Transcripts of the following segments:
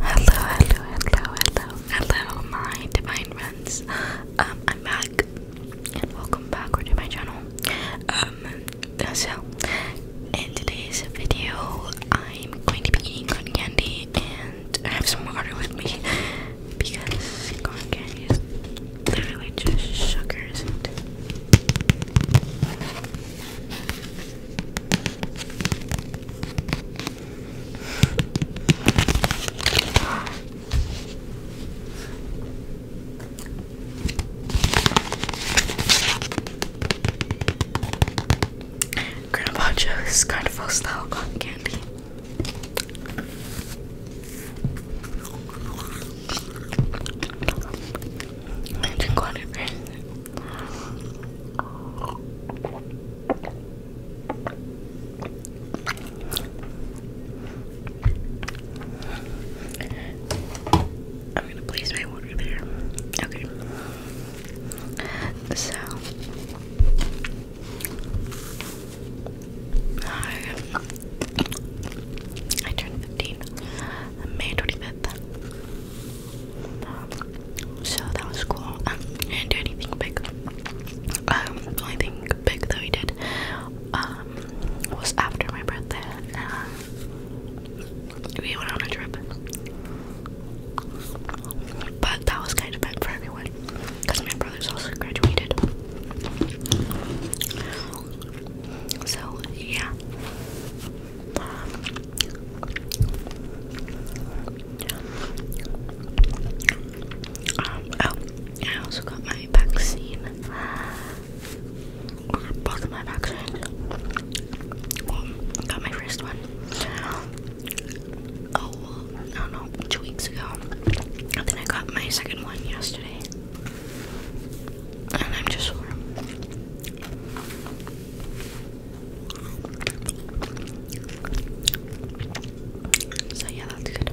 hello, hello, hello, hello, my divine um, I'm back, and welcome back to my channel. Um, so in today's video, I'm going to be eating candy, and I have some water with me because corn candy is literally just sugar, isn't it? Grandpa Joe's carnival style cotton candy. I'm gonna place my water there. Okay. So I turned 15 May 25th. Um, so that was cool. Um, didn't do anything big. Um, only thing big that we did um, was after my birthday. Uh, we went on a trip. But that was kind of meant for everyone because my brothers also graduated. So, yeah. Um, oh, I also got my vaccine. both of my vaccines. got my first one oh no no two weeks ago and then I got my second one yesterday and I'm just sore so yeah that's good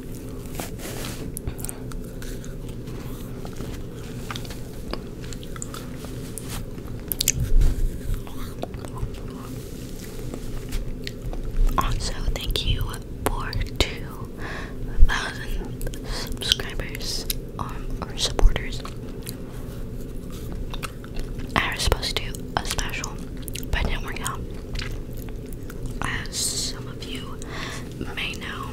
Also, thank you for 2,000 subscribers um, or supporters. I was supposed to do a special, but it didn't as some of you may know,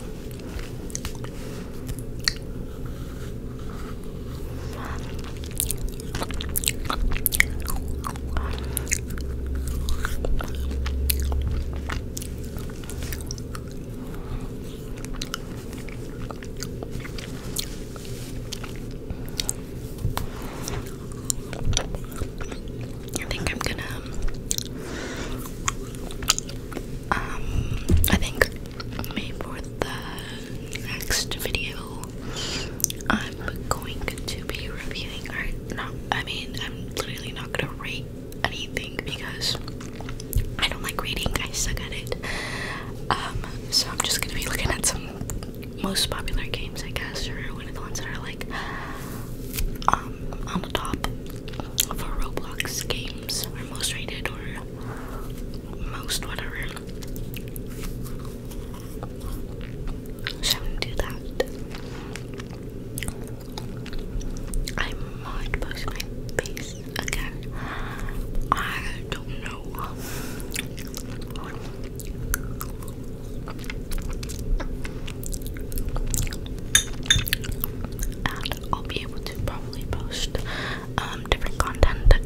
I think I'm gonna. Um, um, I think maybe for the next video, I'm going to be reviewing art. Not, I mean, I'm literally not gonna rate anything because I don't like reading. I suck at it. Um, so I'm just gonna be looking at some most popular games, I guess, are one of the ones that are like um, on the top for Roblox games, or most rated, or most whatever. So i do that. I might post my face again. I don't know and I'll be able to probably post um, different content then.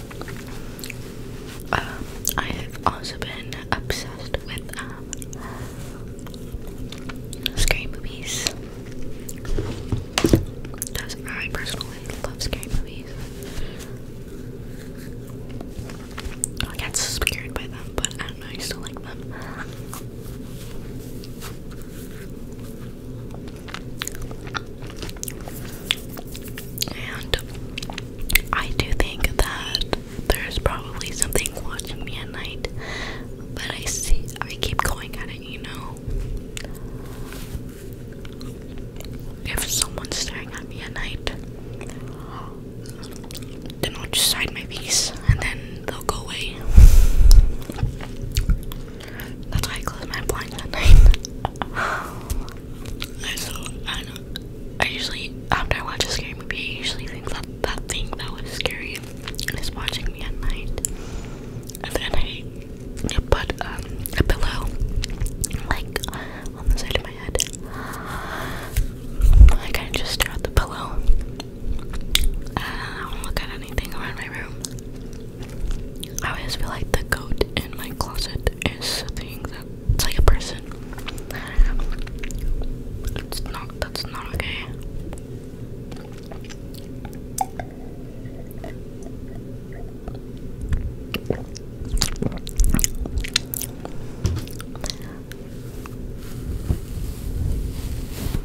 Um, I have also been obsessed with um, scary movies. Because I personally love scary movies. I get scared by them, but I don't know, I still like them. And I do think that there's probably something watching me at night, but I see I keep going at it, you know. If someone's staring at me at night, then I'll just hide my face and then they'll go away. That's why I close my blinds at night. I usually, after I watch a scary movie, I usually think that that thing that was scary is watching me at night. And then I put um, a pillow, like, on the side of my head. I kind of just stare at the pillow. Uh, don't look at anything around my room. I always feel like the goat in my closet is a that it's like a person. It's not. That's not okay.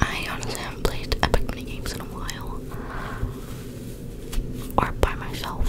I honestly haven't played epic mini games in a while. Or by myself.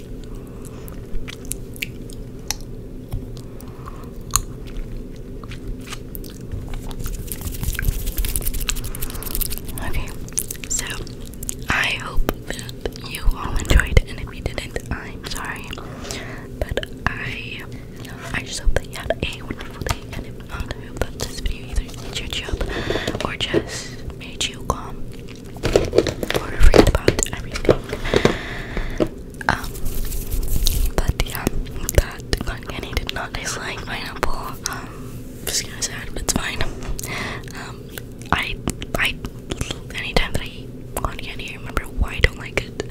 Okay, so I hope that you all enjoyed, and if you didn't, I'm sorry. But I, I just hope that you had a wonderful day, and if not, I hope that this video either made you job or just made you calm want to read about everything. but yeah, that Kenny did not taste like pineapple. Um, just gonna say it's fine. Um, I, I, anytime that I eat cotton remember why I don't like it.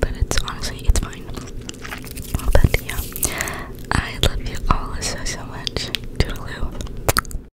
But it's honestly, it's fine. But yeah, I love you all so so much. Toodaloo.